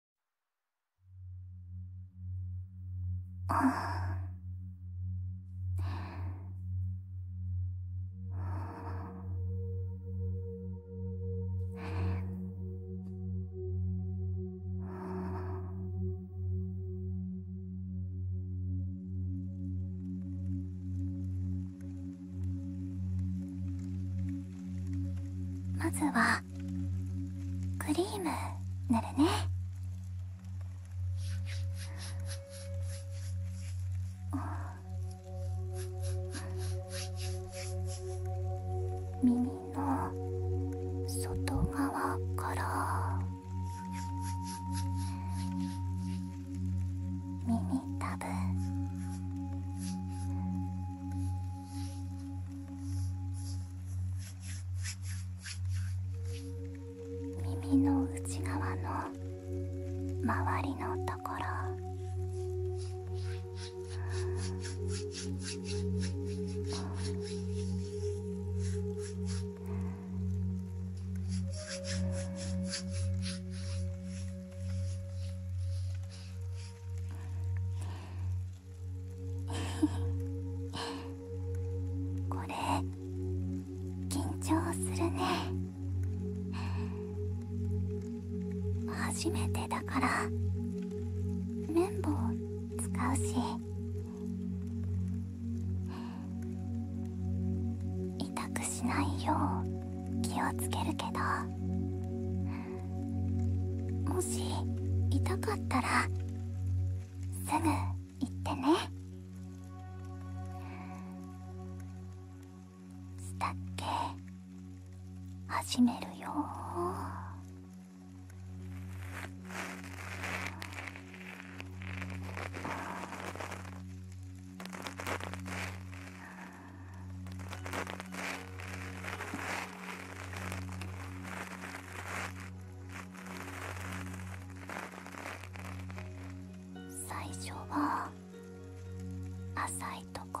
まずはクリーム塗るね耳の外側から耳たぶ耳の内側の周りのところ これ緊張するね初めてだから綿棒使うし痛くしないよう気をつけるけどもし痛かったらすぐ行ってねスタッケ始めるよ最初は浅いとこ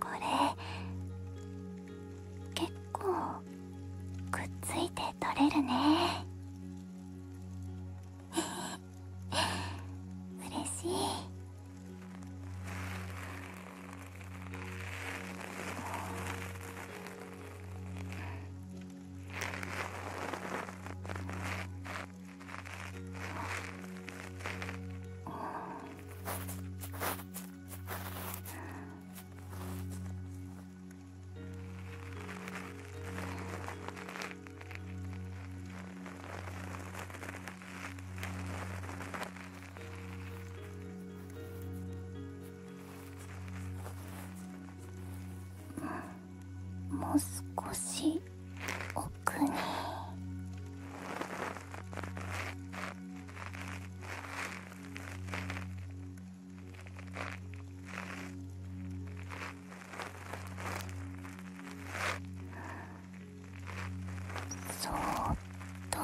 これ結構くっついて取れるねうれ しいもう少し奥に。そーっと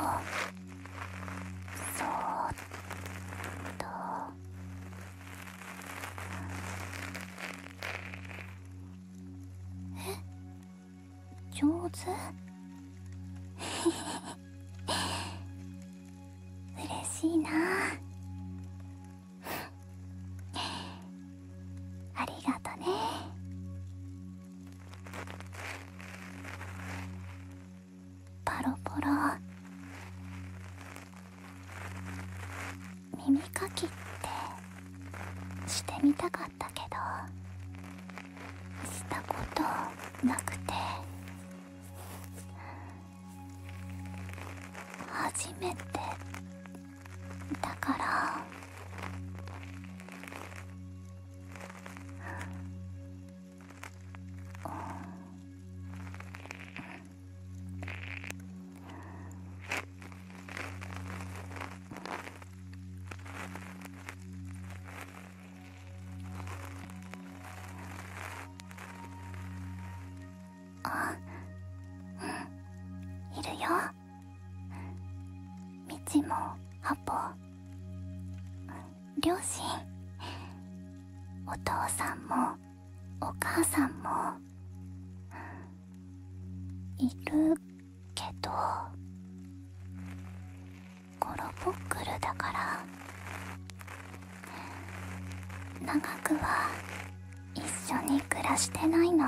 そーっとえ上手 嬉しいな ありがとねポロポロ耳かきってしてみたかったけど。したことなくて初めてだからあうんいるよ道もハポ両親お父さんもお母さんもいるけどコロポックルだから長くは一緒に暮らしてないの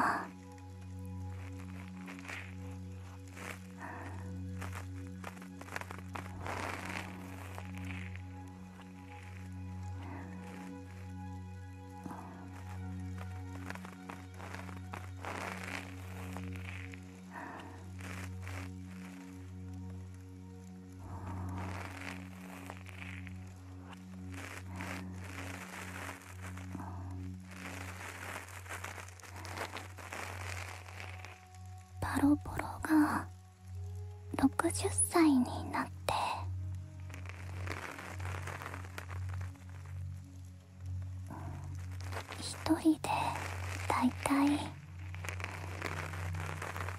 バロボロが60歳になって一人で大体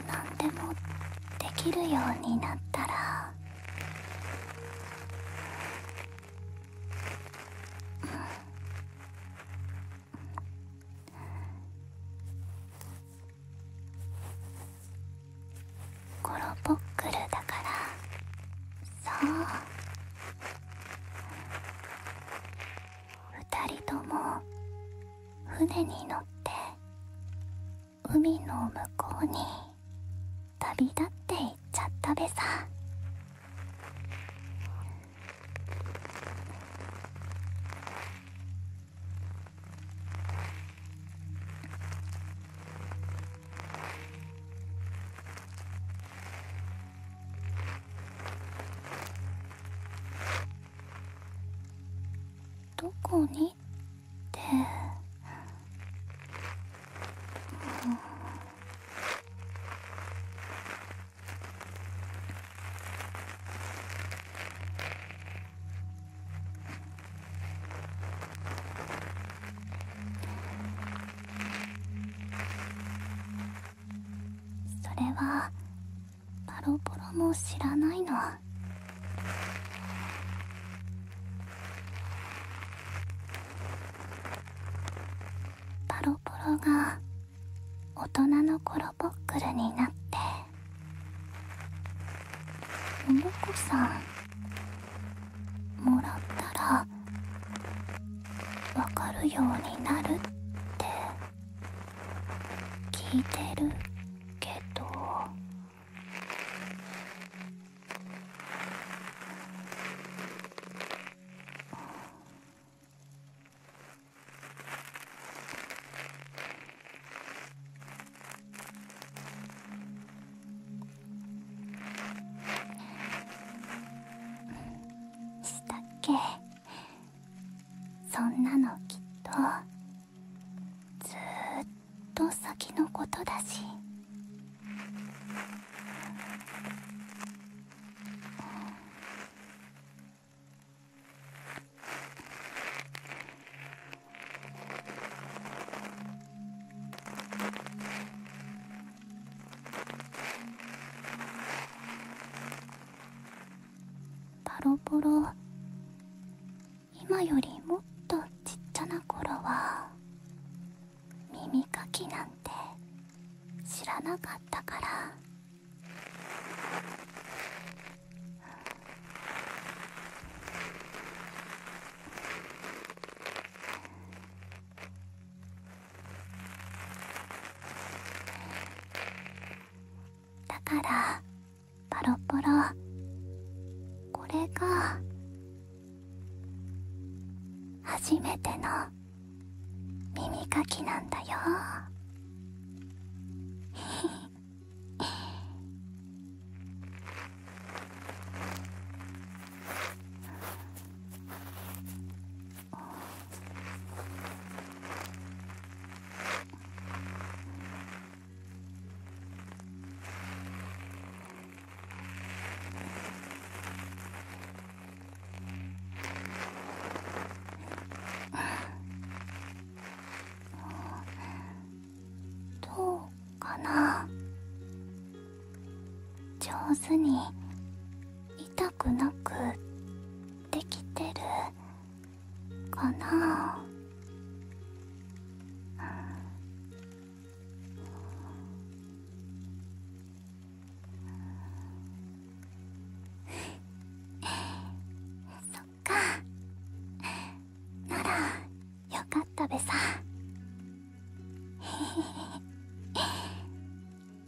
何でもできるようになったら、うコロポックルだからそう二人とも船に乗って海の向こうに旅立っていっちゃったべさどこにってそれはパロポロも知らないのパロポロが大人のコロポックルになってモモコさんもらったら分かるようになるって聞いてるけどしたっけそんなのきっとずっと先のことだしパロポロ今よりもっとちっちゃな頃は耳かきなんて知らなかったからだからパロポロこれが初めての耳かきなんだよ どうかな上手に痛くなくできてるかなそっかならよかったべさ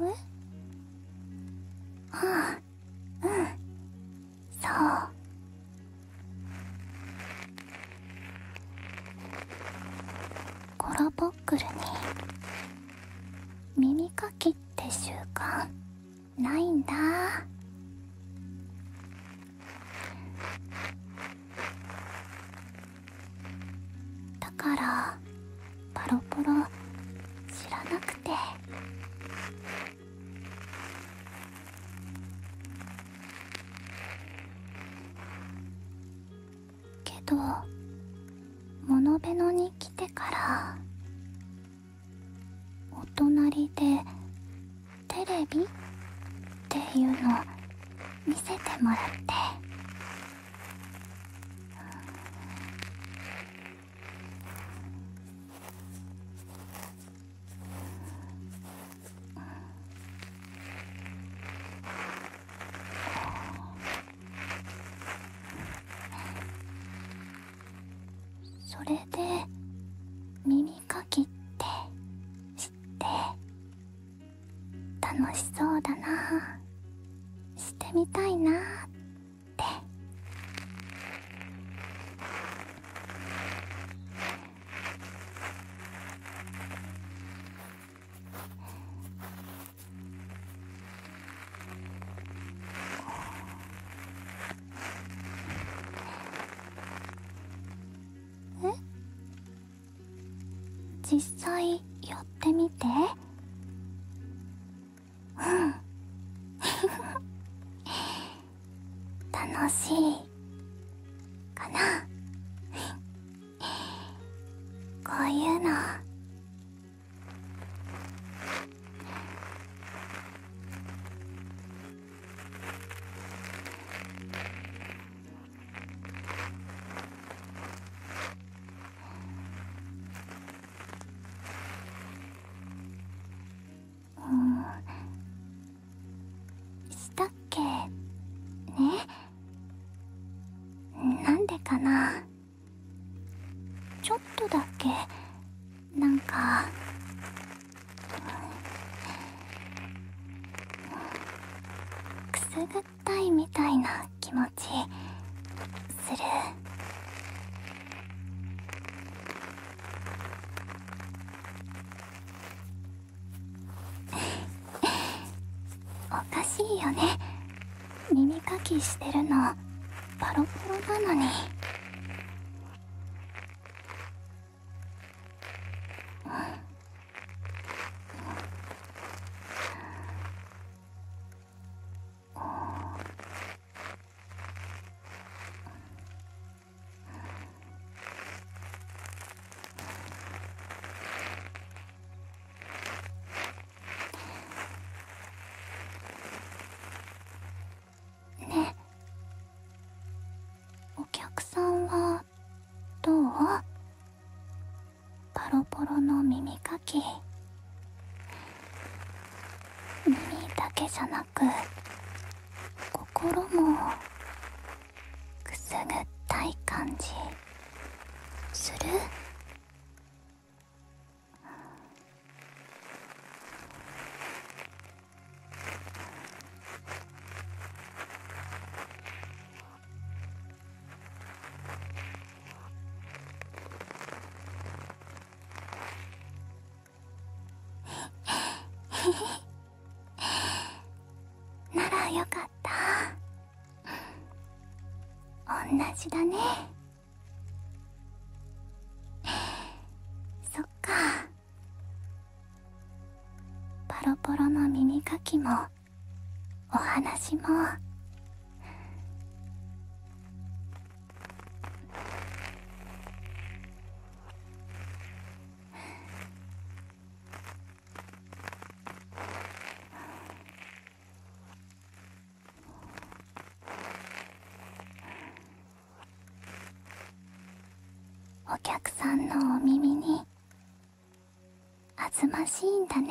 えっ。ああうんそうコロボックルに耳かきって習慣ないんだだからパロポロ知らなくてけどモノベノに来てからお隣でテレビっていうの見せてもらって。それで耳かきって知って楽しそうだなしてみたいなって実際やってみてうん。楽しいかなこういうのうんしたっけねなんでかなちょっとだけなんかくすぐれいみたいな気持ちする おかしいよね耳かきしてるのパロパロなのにねお客さんはどうボロボロの耳かき耳だけじゃなく心もくすぐったい感じするならよかった同じだねそっかパロポロの耳かきもお話もお客さんのお耳にあずましいんだね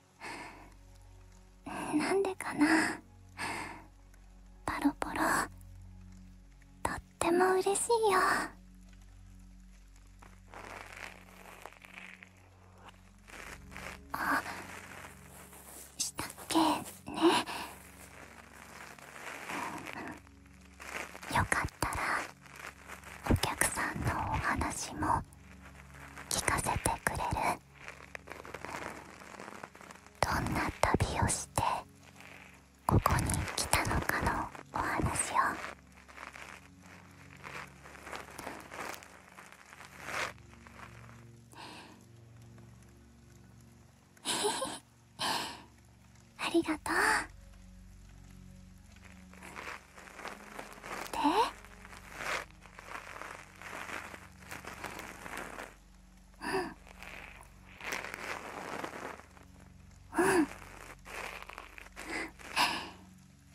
なんでかなパロポロとっても嬉しいよあしたっけねよかったらお客さんのお話も聞かせてくれるどんな旅をしてここに来たのかのお話をへへ ありがとうでううううん。ん。んん。んへ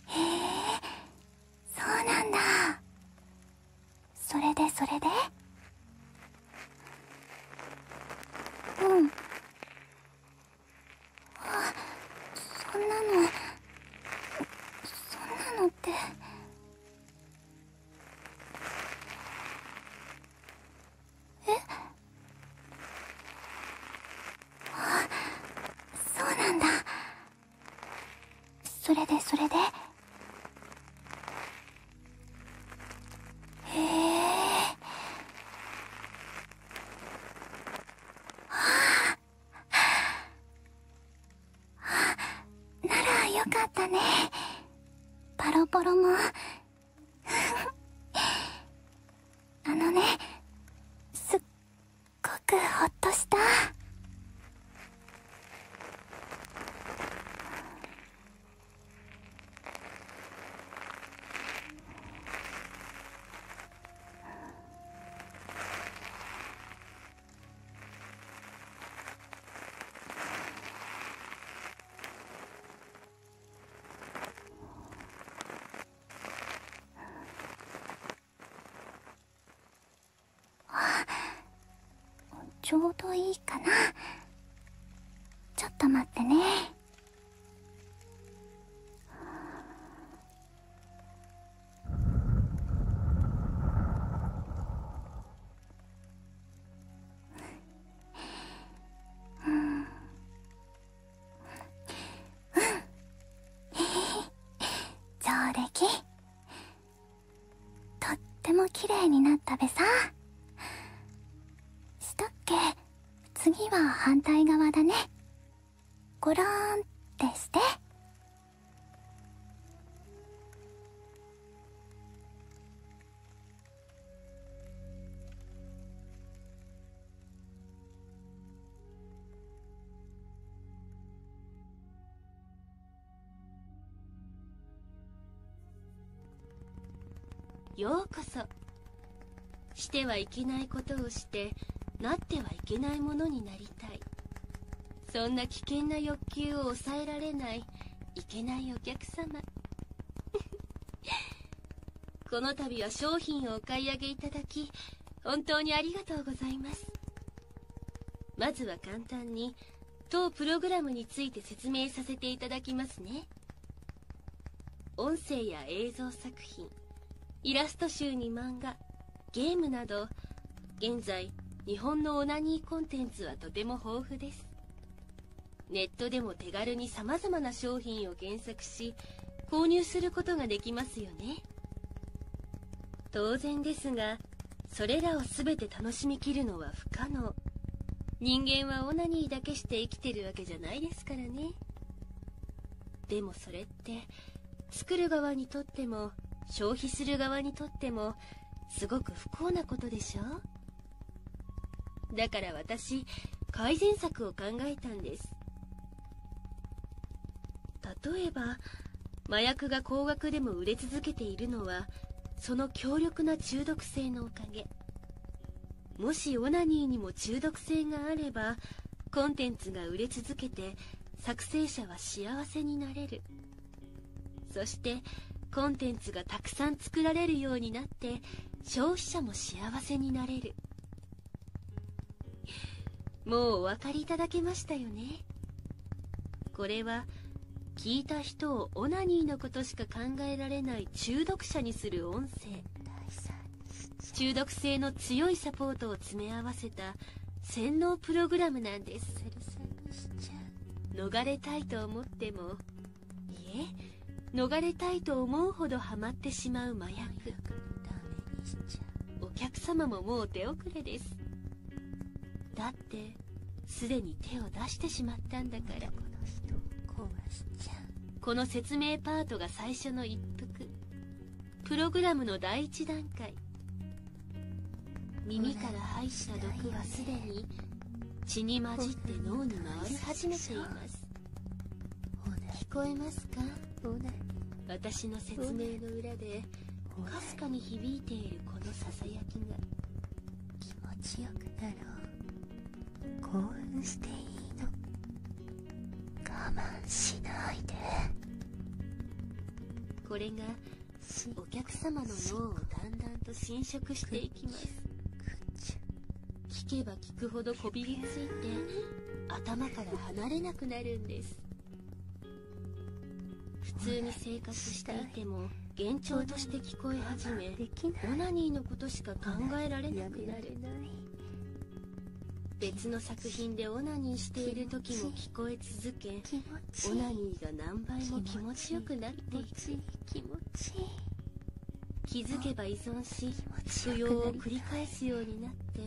え。そそそななだ。れれで、で。あ。の。そんなのってえっ？あ っそうなんだそれでそれでえあ。あならよかったねパロポロも あのねすっごくほっとしたあちょうどいいかなちょっと待ってね上出来とっても綺麗になったべさしたっけ次は反対側だねゴローってしてようこそしてはいけないことをしてなってはいけないものになりたいそんな危険な欲求を抑えられないいけないお客様 この度は商品をお買い上げいただき本当にありがとうございますまずは簡単に当プログラムについて説明させていただきますね音声や映像作品イラスト集に漫画ゲームなど現在日本のオナニーコンテンツはとても豊富ですネットでも手軽にさまざまな商品を検索し購入することができますよね当然ですがそれらを全て楽しみきるのは不可能人間はオナニーだけして生きてるわけじゃないですからねでもそれって作る側にとっても消費する側にとってもすごく不幸なことでしょだから私改善策を考えたんです例えば麻薬が高額でも売れ続けているのはその強力な中毒性のおかげもしオナニーにも中毒性があればコンテンツが売れ続けて作成者は幸せになれるそしてコンテンツがたくさん作られるようになって消費者も幸せになれるもうお分かりいただけましたよねこれは聞いた人をオナニーのことしか考えられない中毒者にする音声中毒性の強いサポートを詰め合わせた洗脳プログラムなんです逃れたいと思ってもいえ逃れたいと思うほどハマってしまう麻薬お客様ももう手遅れですだってすでに手を出してしまったんだからこの人壊しちゃうこの説明パートが最初の一服プログラムの第1段階耳から排した毒はすでに血に混じって脳に回り始めています聞こえますか私の説明の裏でかすかに響いているこのささやきが気持ちよくなろう興奮していいの我慢しないでこれがお客様の脳をだんだんと侵食していきます聞けば聞くほどこびりついて頭から離れなくなるんです普通に生活していても幻聴として聞こえ始めオナニーのことしか考えられなくなる別の作品でオナニーしている時も聞こえ続づけオナニーが何倍も気持ちよくなっていく気持ち気づけば依存し不要を繰り返すようになって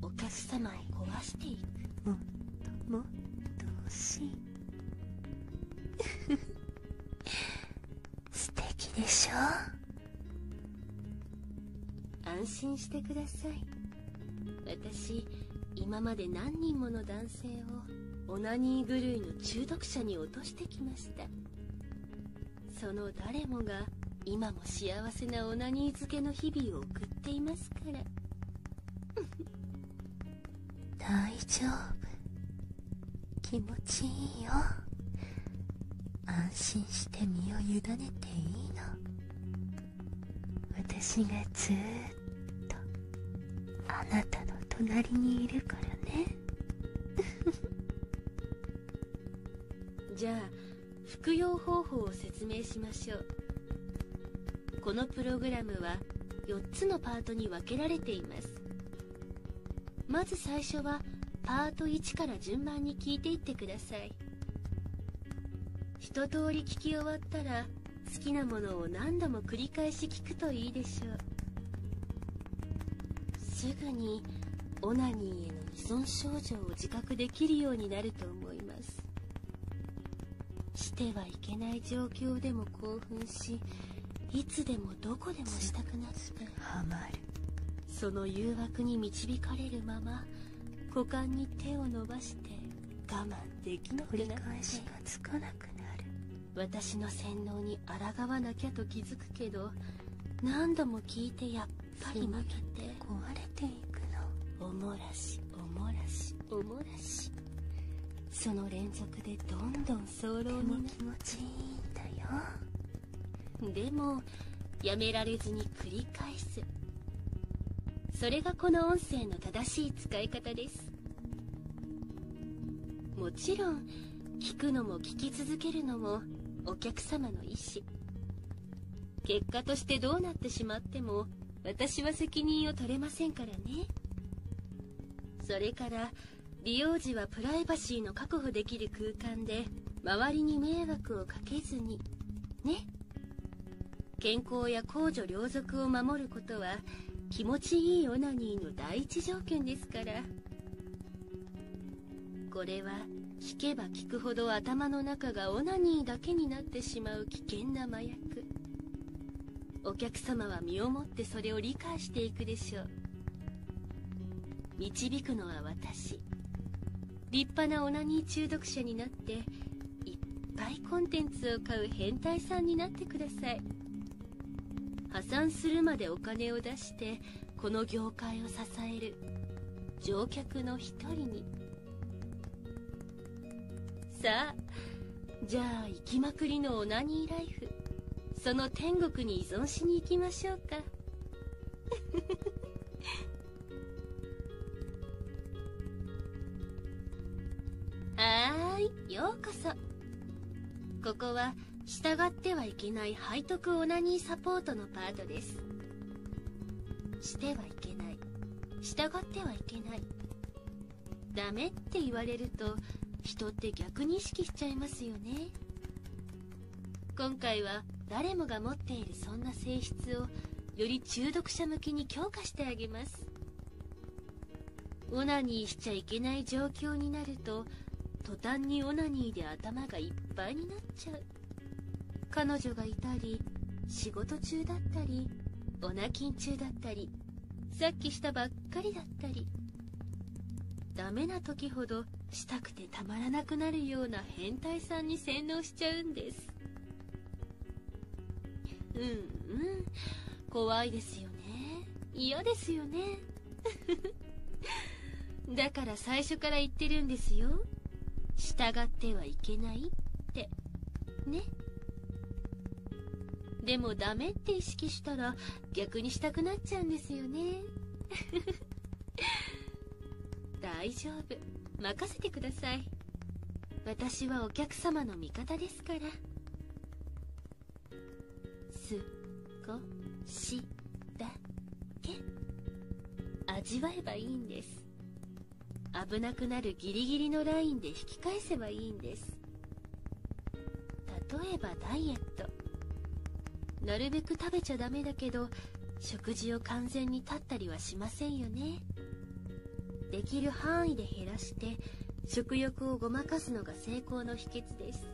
お客様を壊していくもっともっと欲しい 素敵でしょ安心してください私今まで何人もの男男性をオナニー狂いの中毒者に落としてきましたその誰もが今も幸せなオナニー漬けの日々を送っていますから 大丈夫気持ちいいよ安心して身を委ねていいの私がずーっあなたの隣にいるからねじゃあ服用方法を説明しましょうこのプログラムは4つのパートに分けられていますまず最初はパート1から順番に聞いていってください一通り聞き終わったら好きなものを何度も繰り返し聞くといいでしょうすぐにオナニーへの依存症状を自覚できるようになると思いますしてはいけない状況でも興奮しいつでもどこでもしたくなってその誘惑に導かれるまま股間に手を伸ばして我慢できなくなっ私の洗脳に抗わなきゃと気づくけど何度も聞いてやっぱり負けて壊れていくのおもらしおもらしおもらしその連続でどんどん早漏にも気持ちいいんだよでもやめられずに繰り返すそれがこの音声の正しい使い方ですもちろん聞くのも聞き続けるのもお客様の意思結果としてどうなってしまっても私は責任を取れませんからねそれから利用時はプライバシーの確保できる空間で周りに迷惑をかけずにね健康や公女両族を守ることは気持ちいいオナニーの第一条件ですからこれは聞けば聞くほど頭の中がオナニーだけになってしまう危険な麻薬お客様は身をもってそれを理解していくでしょう導くのは私立派なオナニー中毒者になっていっぱいコンテンツを買う変態さんになってください破産するまでお金を出してこの業界を支える乗客の一人にさあじゃあ行きまくりのオナニーライフその天国に依存しに行きましょうか はーいようこそここは従ってはいけない背徳オナニーサポートのパートですしてはいけない従ってはいけないダメって言われると人って逆に意識しちゃいますよね今回は誰もが持っているそんな性質をより中毒者向きに強化してあげますオナニーしちゃいけない状況になると途端にオナニーで頭がいっぱいになっちゃう彼女がいたり仕事中だったりオナキン中だったりさっきしたばっかりだったりダメな時ほどしたくてたまらなくなるような変態さんに洗脳しちゃうんですうんうん怖いですよね嫌ですよね だから最初から言ってるんですよ従ってはいけないってねでもダメって意識したら逆にしたくなっちゃうんですよね 大丈夫任せてください私はお客様の味方ですますから少しだけ味わえばいいんです危なくなるギリギリのラインで引き返せばいいんです例えばダイエットなるべく食べちゃダメだけど食事を完全に断ったりはしませんよねできる範囲で減らして食欲をごまかすのが成功の秘訣です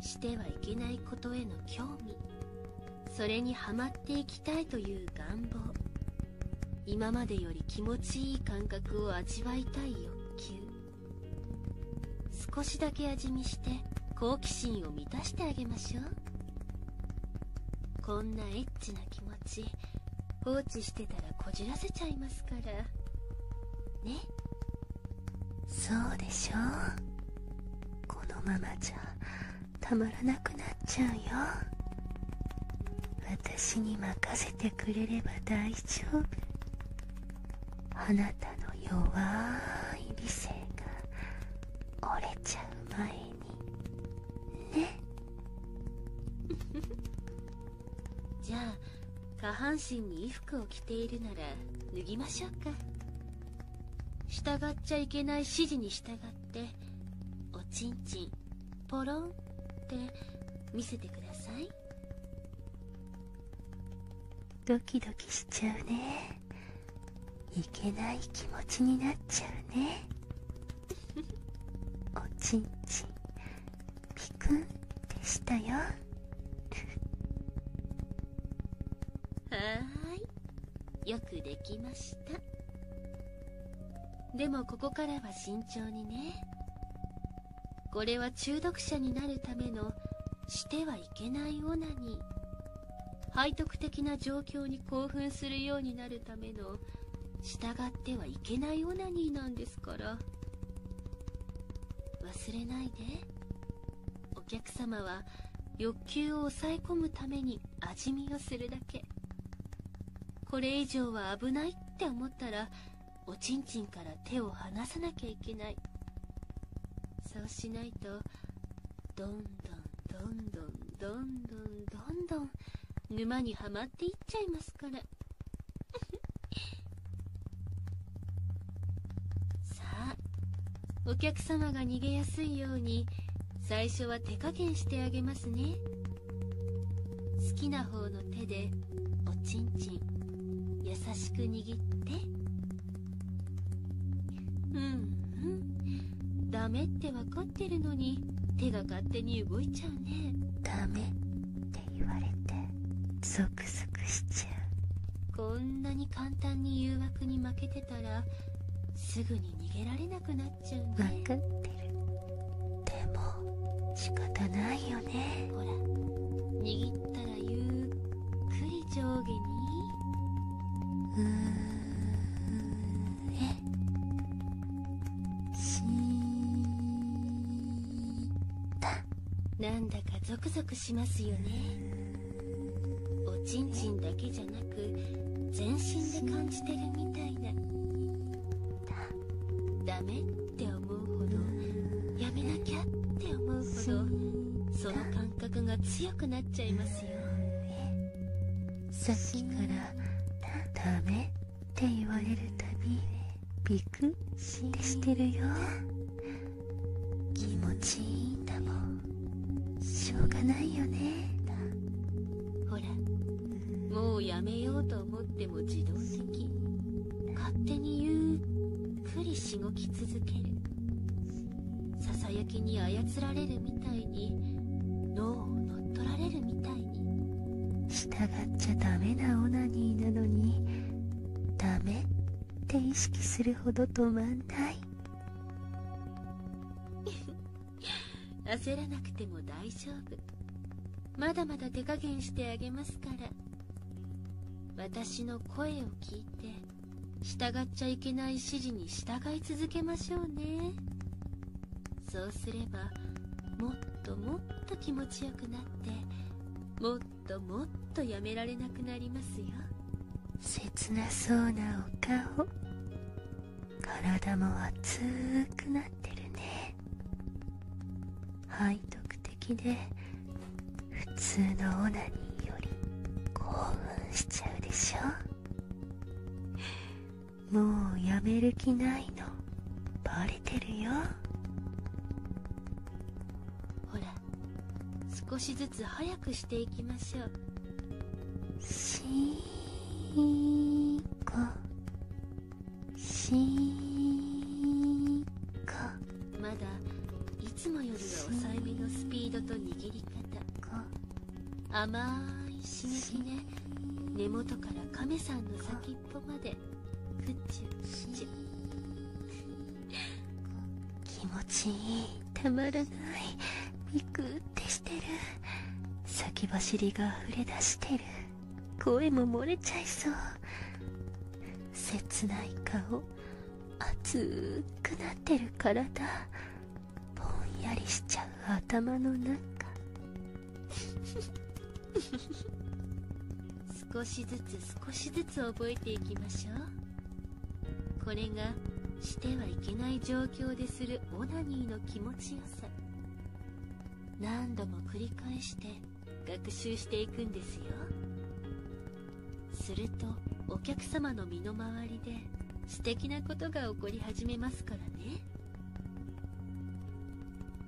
してはいけないことへの興味それにはまっていきたいという願望今までより気持ちいい感覚を味わいたい欲求少しだけ味見して好奇心を満たしてあげましょうこんなエッチな気持ち放置してたらこじらせちゃいますからねそうでしょこのままじゃたまらなくなっちゃうよ私に任せてくれれば大丈夫あなたの弱い理性が折れちゃう前にねじゃあ下半身に衣服を着ているなら脱ぎましょうか従っちゃいけない指示に従っておちんちんポロンって見せてくださいドキドキしちゃうねいけない気持ちになっちゃうねおちんちんピクンってしたよはーいよくできましたでもここからは慎重にねこれは中毒者になるためのしてはいけないオナニー背徳的な状況に興奮するようになるるための従ってはいけないオナニーなんですから忘れないでお客様は欲求を抑え込むために味見をするだけこれ以上は危ないって思ったらおちんちんから手を離さなきゃいけないそうしないとどんどんどんどんどんどんどんどん沼にはまっていっちゃいますですかさあお客様が逃げやすいように最初は手加減してあげますね好きな方の手でおちんちん優しく握ってうんうんダメって分かってるのに手が勝手に動いちゃうねダメって言われてゾクゾクしちゃうこんなに簡単に誘惑に負けてたらすぐに逃げられなくなっちゃうね分かってるでも仕方ないよねほら握ったらゆっくり上下にうーんしーなんだかゾクゾクしますよねおちんちんだけじゃなく全身で感じてるみたいなダメって思うほどやめなきゃって思うほどその感覚が強くなっちゃいますよさっきからダメって言われるたびビクッってしてるよ気持ちいいんだもんしょうがないよねほらもうやめようと思っても自動的勝手にゆっくりしごき続けるささやきに操られるみたいに脳を乗っ取られるみたいに従っちゃダメなオナニーなのにダメって意識するほど止まんない 焦らなくても大丈夫まだまだ手加減してあげますから私の声を聞いて従っちゃいけない指示に従い続けましょうねそうすればもっともっと気持ちよくなってもっともっとやめられなくなりますよ切なそうなお顔体も熱くなってるね背徳的で普通のオナニーより興奮しちゃうでしょもうやめる気ないのバレてるよほら少しずつ早くしていきましょうしーこしーこまだいつもよりは抑えめのスピードと握り方甘い刺激ね根元から亀さんの叫びぽまでちゅくち気持ちいいたまらないビクッてしてる先走りが溢れ出してる声も漏れちゃいそう切ない顔熱くなってる体ぼんやりしちゃう頭の中少しずつ少しずつ覚えていきましょうこれがしてはいけない状況でするオナニーの気持ちよさ何度も繰り返して学習していくんですよするとお客様の身の回りで素敵なことが起こり始めますからね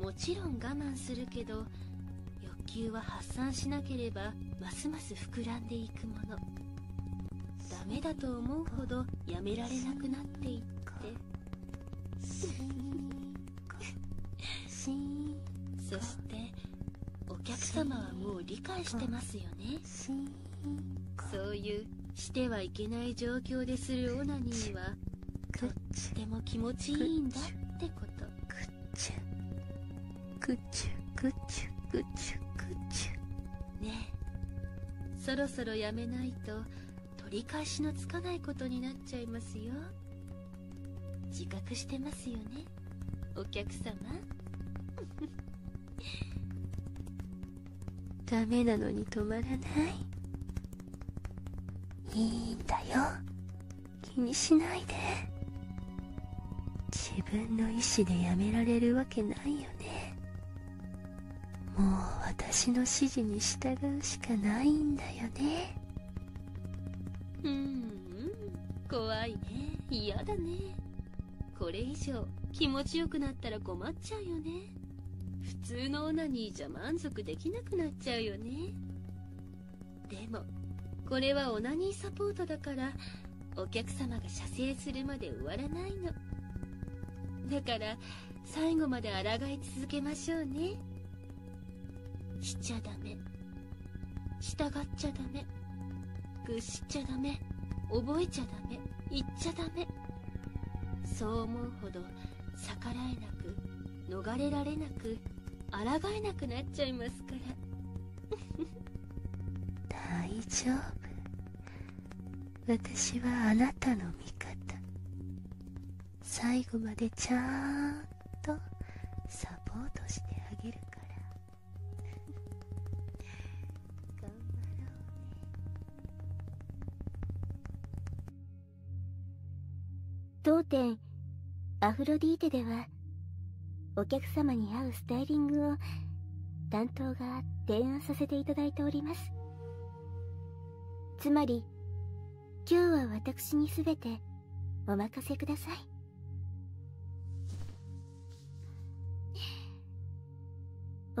もちろん我慢するけど欲求は発散しなければますます膨らんでいくものダメだと思うほどやめられなくなっていって そしてお客様はもう理解してますよねそういうしてはいけない状況でするオナニーはとっても気持ちいいんだってことくっちゅくっちゅくっちゅくっちゅくっちゅねえそろそろやめないと取り返しのつかないことになっちゃいますよ自覚してますよねお客様 ダメなのに止まらないいいんだよ気にしないで自分の意思でやめられるわけないよねもう私の指示に従うしかないんだよねうんうん怖いね嫌だねこれ以上気持ちよくなったら困っちゃうよね普通のオナニーじゃ満足できなくなっちゃうよねでもこれはオナニーサポートだからお客様が射精するまで終わらないのだから最後まで抗い続けましょうねしちゃダメ従っちゃダメ屈しちゃダメ覚えちゃダメ言っちゃダメそう思うほど逆らえなく逃れられなく抗えなくなっちゃいますから 大丈夫私はあなたの味方最後までちゃんとサポートしてあげるから 頑張ろうね。当店アフロディーテではお客様に合うスタイリングを担当が提案させていただいておりますつまり今日は私に全てお任せください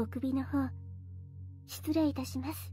お首の方失礼いたします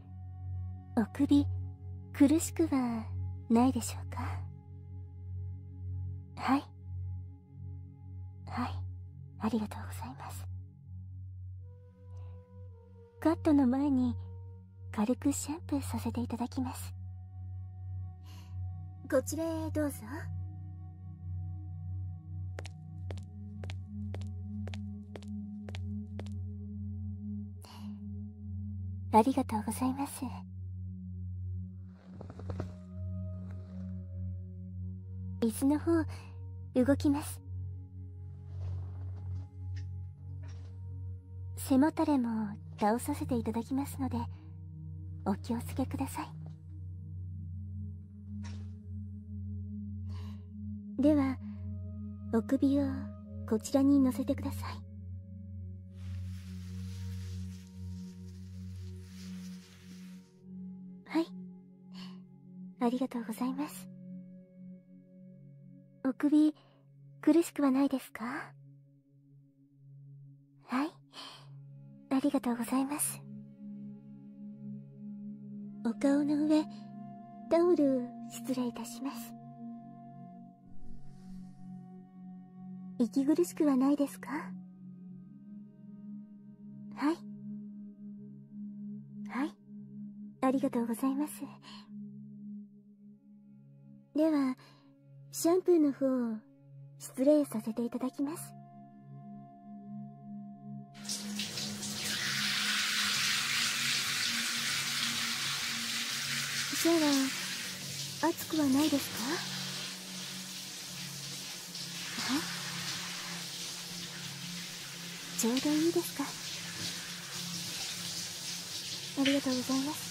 お首苦しくはないでしょうかはいはいありがとうございますカットの前に軽くシャンプーさせていただきますこちらへどうぞありがとうございます。水子の方、動きます。背もたれも倒させていただきますので、お気をつけください。ではお首をこちらに乗せてくださいはいありがとうございますお首苦しくはないですかはいありがとうございますお顔の上タオル失礼いたします息苦しくはないですかはいはいありがとうございますではシャンプーの方を失礼させていただきますシじゃー熱くはないですかはいちょうどいいですかありがとうございます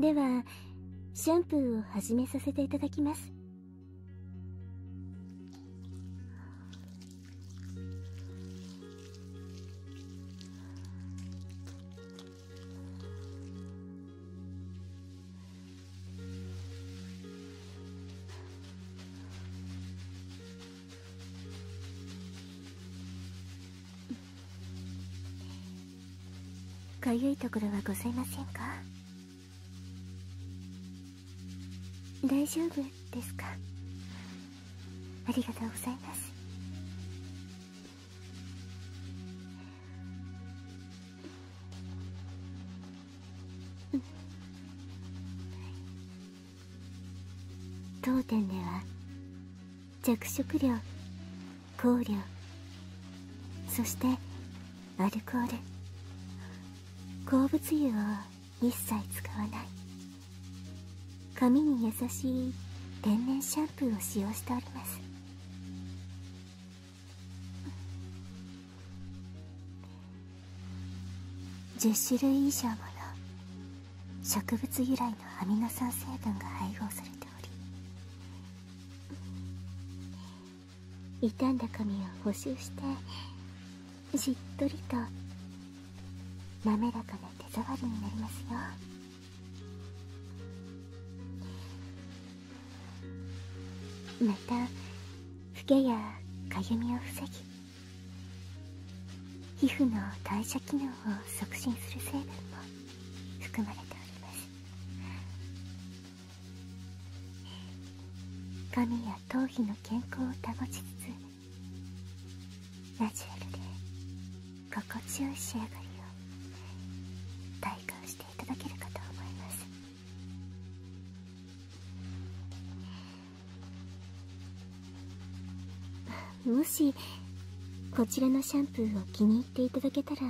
ではシャンプーを始めさせていただきますかゆいところはございませんか大丈夫ですかありがとうございますうん当店では着色料香料そしてアルコール鉱物油を一切使わない髪に優しい天然シャンプーを使用しております10種類以上もの植物由来のアミノ酸成分が配合されており傷んだ髪を補修してしっとりと滑らかな手触りになりますよまたフケやかゆみを防ぎ皮膚の代謝機能を促進する成分も含まれております髪や頭皮の健康を保ちつつラジュラルで心地よい仕上がりを体感していただけるかと思いますもしこちらのシャンプーを気に入っていただけたら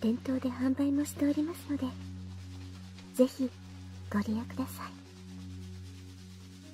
店頭で販売もしておりますのでぜひご利用ください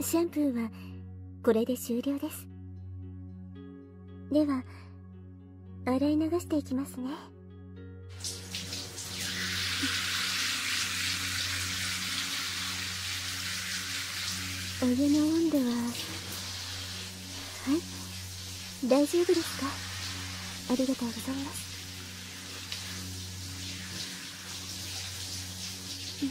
シャンプーはこれで終了ですでは洗い流していきますねお湯の温度ははい大丈夫ですかありがとうございますうん。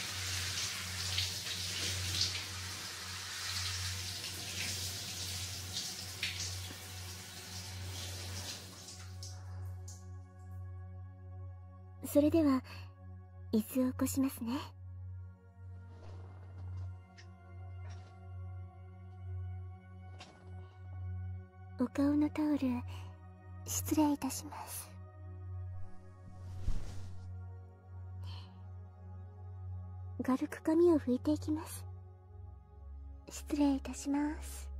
それでは椅子を起こしますねお顔のタオル失礼いたします軽く髪を拭いていきます失礼いたします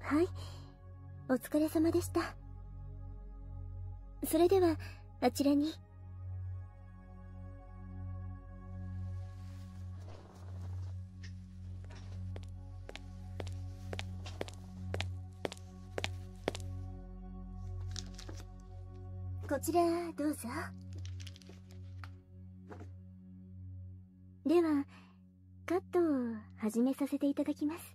はいお疲れ様でしたそれではあちらにこちらどうぞではカットを始めさせていただきます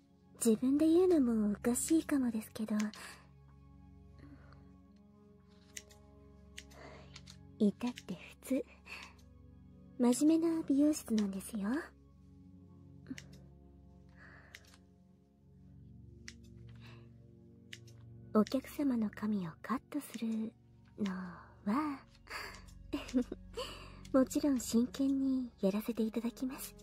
自分で言うのもおかしいかもですけどいたって普通真面目な美容室なんですよお客様の髪をカットするのは もちろん真剣にやらせていただきます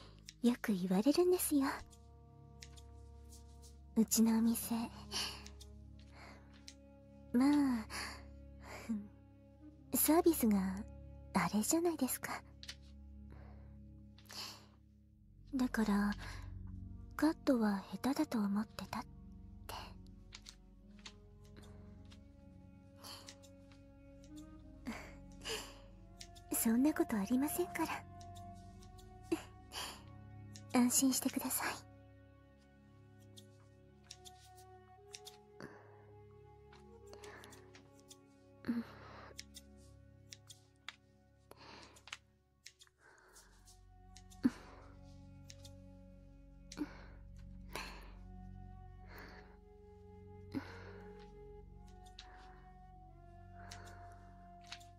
よく言われるんですようちのお店まあサービスがあれじゃないですかだからカットは下手だと思ってたってそんなことありませんから安心してください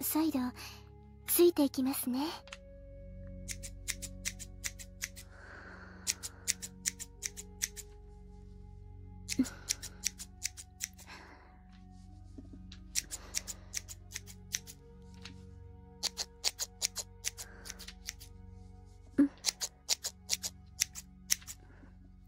再度ついていきますねうん。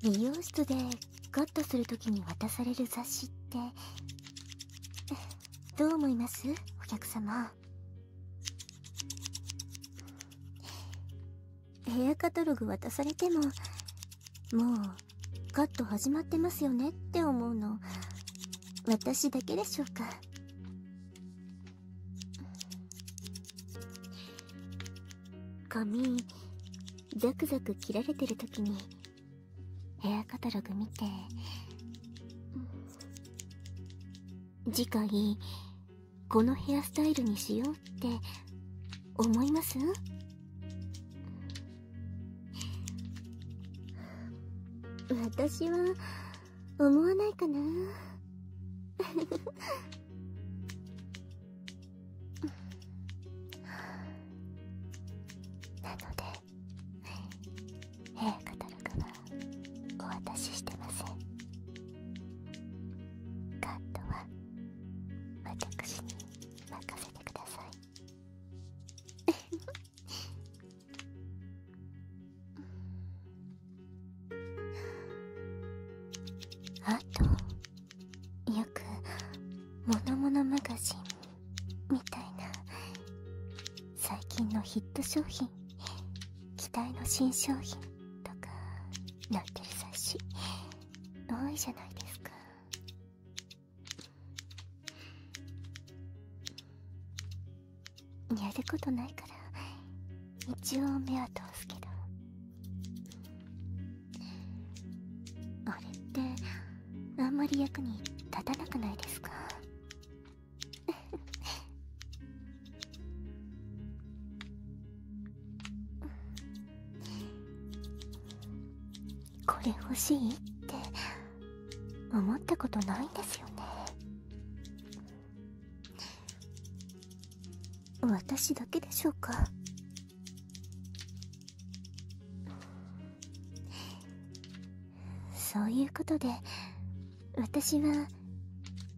美容室でカットするときに渡される雑誌ってどう思いますお客様ヘアカタログ渡されてももうカット始まってますよねって思うの私だけでしょうか髪ザクザク切られてる時にヘアカタログ見て次回このヘアスタイルにしよう。うって思います私は思わないかな なのでヘえカタログはお渡ししてませんカットは私に任せて。せてください あとよく「ものものマガジン」みたいな最近のヒット商品期待の新商品とかなってる雑誌多いじゃないですかやることないから一応目は通すけどあれってあんまり役に立たなくないですか これ欲しいって思ったことないんですよね私だけでしょうかそういうことで私は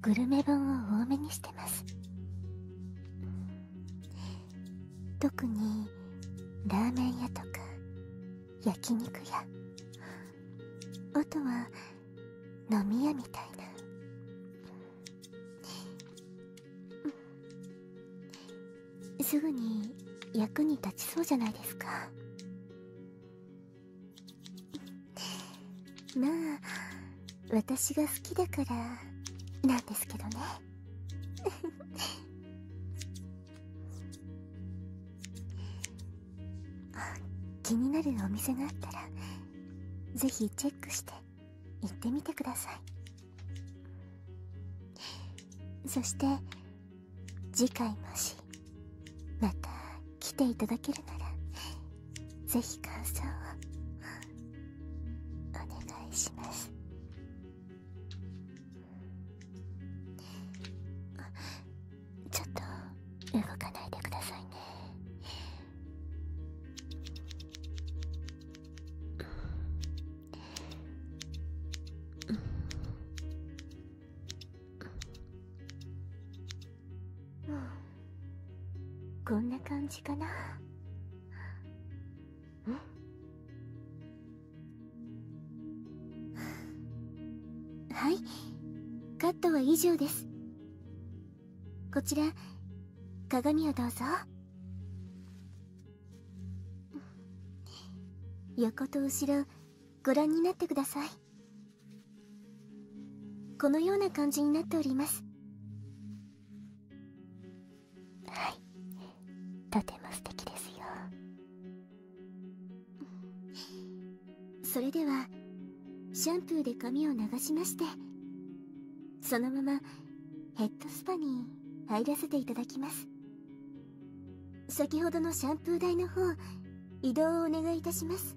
グルメ本を多めにしてます特にラーメン屋とか焼き肉屋あとは飲み屋みたいなすぐに役に立ちそうじゃないですかまあ私が好きだからなんですけどね 気になるお店があったらぜひチェックして行ってみてくださいそして次回もしまた来ていただけるならぜひ感想をお願いしますちょっと動かないでくださいねこんな感じかなはいカットは以上ですこちら鏡をどうぞ横と後ろご覧になってくださいこのような感じになっておりますはいとても素敵ですよそれではシャンプーで髪を流しましてそのままヘッドスパに入らせていただきます先ほどのシャンプー台の方移動をお願いいたします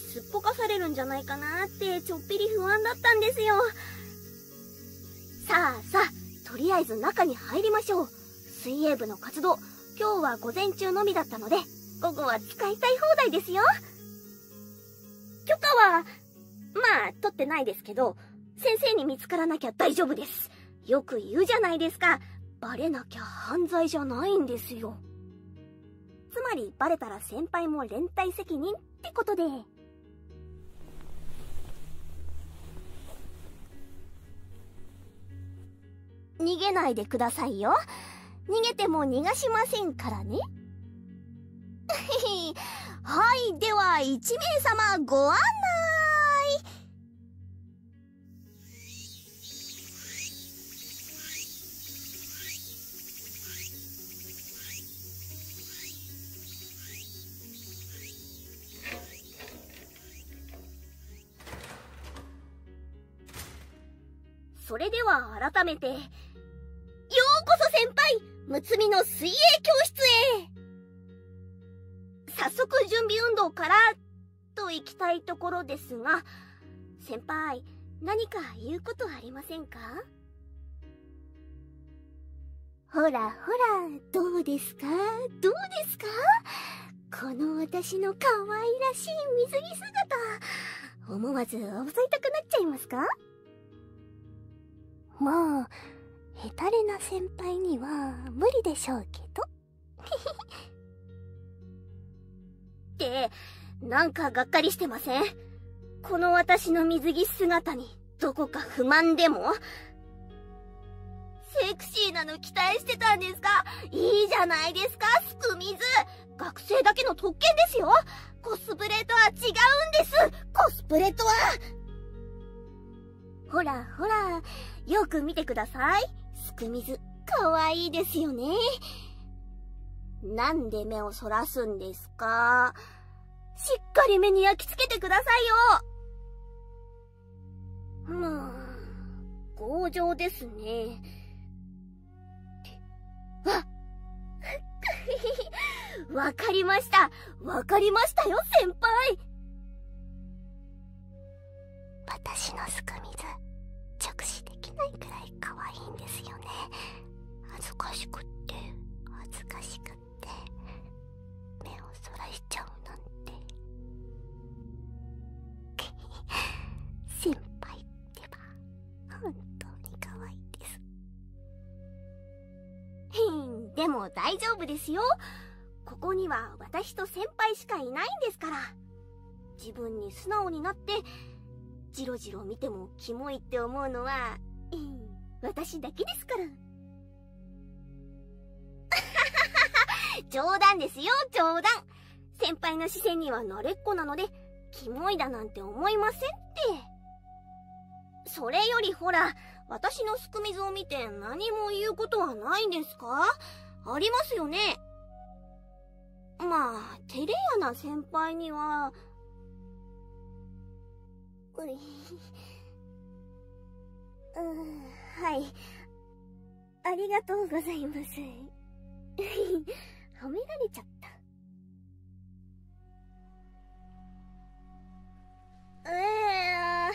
すっぽかされるんじゃないかなってちょっぴり不安だったんですよさあさあとりあえず中に入りましょう水泳部の活動今日は午前中のみだったので午後は使いたい放題ですよ許可はまあ取ってないですけど先生に見つからなきゃ大丈夫ですよく言うじゃないですかバレなきゃ犯罪じゃないんですよつまりバレたら先輩も連帯責任ってことで。逃げないでくださいよ。逃げても逃がしませんからね。はい、では、1名様ご案内。それでは改めて、ようこそ先輩睦つの水泳教室へ早速準備運動から、といきたいところですが、先輩、何か言うことありませんかほらほら、どうですかどうですかこの私の可愛らしい水着姿、思わずおぶいたくなっちゃいますかもう、ヘタレな先輩には無理でしょうけど。って、なんかがっかりしてませんこの私の水着姿にどこか不満でもセクシーなの期待してたんですかいいじゃないですか、スクミズ学生だけの特権ですよコスプレとは違うんですコスプレとはほらほら、よく見てください。スクミズ、かわいいですよね。なんで目をそらすんですですしっかり目に焼き付けてくださいよまあ、強情ですね。あ わかりました。わかりましたよ、先輩私のすく水、直視できないくらいい可愛いんですよね恥ずかしくって恥ずかしくって目をそらしちゃうなんて先輩 ってば本当に可愛いです でも大丈夫ですよここには私と先輩しかいないんですから自分に素直になってじろじろ見てもキモいって思うのは、私だけですから。冗談ですよ、冗談。先輩の視線には慣れっこなので、キモいだなんて思いませんって。それよりほら、私のすくみずを見て何も言うことはないんですかありますよねまあ、照れやな先輩には、うん、はい。ありがとうございます。褒められちゃった。え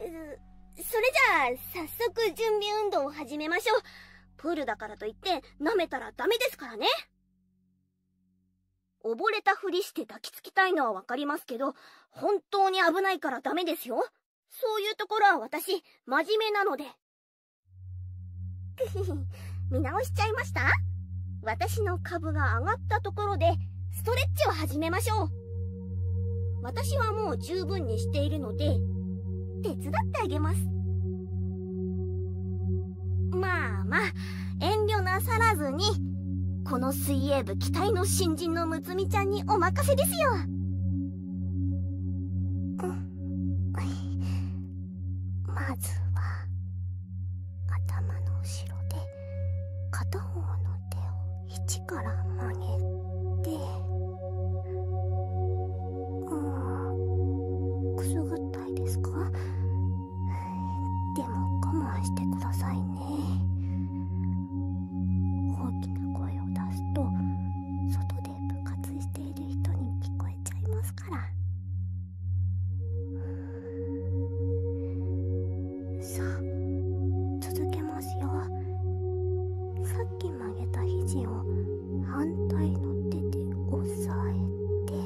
えそれじゃあ、早速準備運動を始めましょう。プールだからといって、舐めたらダメですからね。溺れたふりして抱きつきたいのはわかりますけど、本当に危ないからダメですよ。そういうところは私、真面目なので。見直しちゃいました私の株が上がったところで、ストレッチを始めましょう。私はもう十分にしているので、手伝ってあげます。まあまあ、遠慮なさらずに。この水泳部期待の新人の睦美ちゃんにお任せですよ。まずは、頭の後ろで、片方の手を一から曲げて、うん、くすぐったいですかでも我慢してくださいね大きな声を出すと外で部活している人に聞こえちゃいますからさあ続けますよさっき曲げた肘を反対の手で押さえて。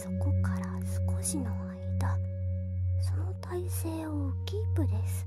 そこから少しの間その体勢をキープです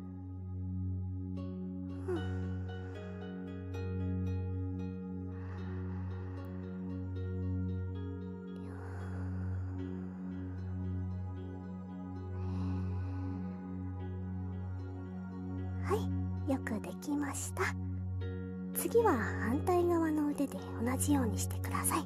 はいよくできました次は反対側の腕で同じようにしてください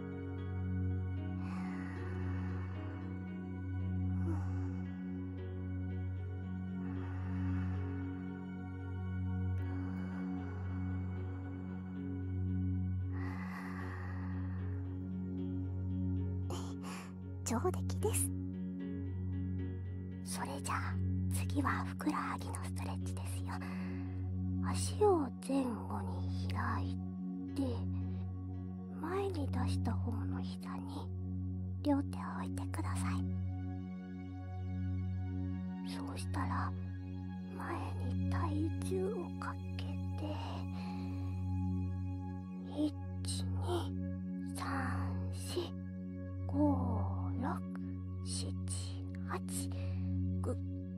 上出来ですそれじゃあ次はふくらはぎのストレッチですよ足を前後に開いて前に出した方の膝に両手を置いてくださいそうしたら前に体重をかけて123456789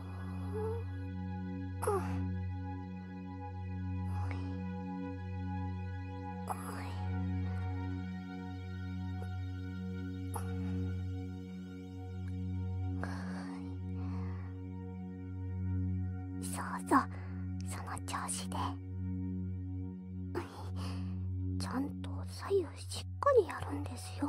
そうそうその調子でちゃんと左右しっかりやるんですよ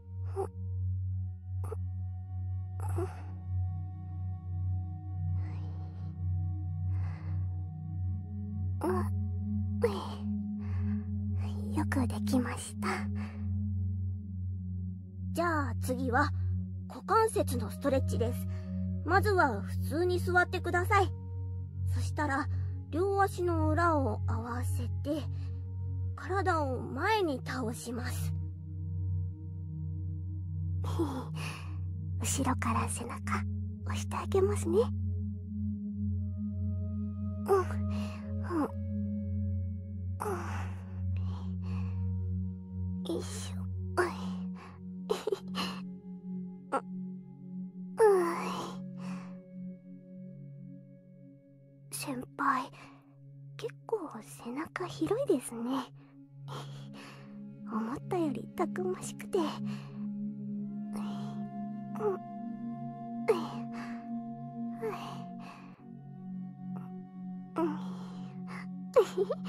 よくできましたじゃあ次は股関節のストレッチですまずは普通に座ってくださいそしたら両足の裏を合わせて体を前に倒します 後ろから背中押してあげますねうんうんうんよいしょ先輩結構背中広いですね 思ったよりたくましくてうん。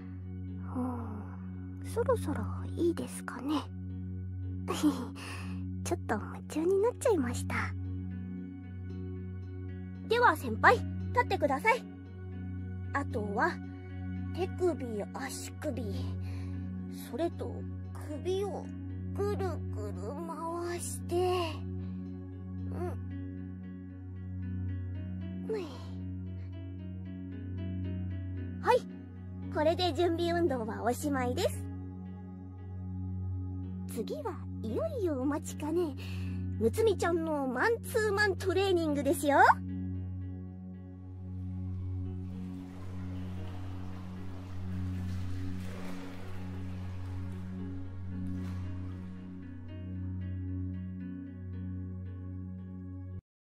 うんそろそろいいですかね ちょっと夢中になっちゃいましたでは先輩立ってくださいあとは手首足首それと首をぐるぐる回してうんはいこれで準備運動はおしまいです次はいよいよお待ちかねむつみちゃんのマンツーマントレーニングですよ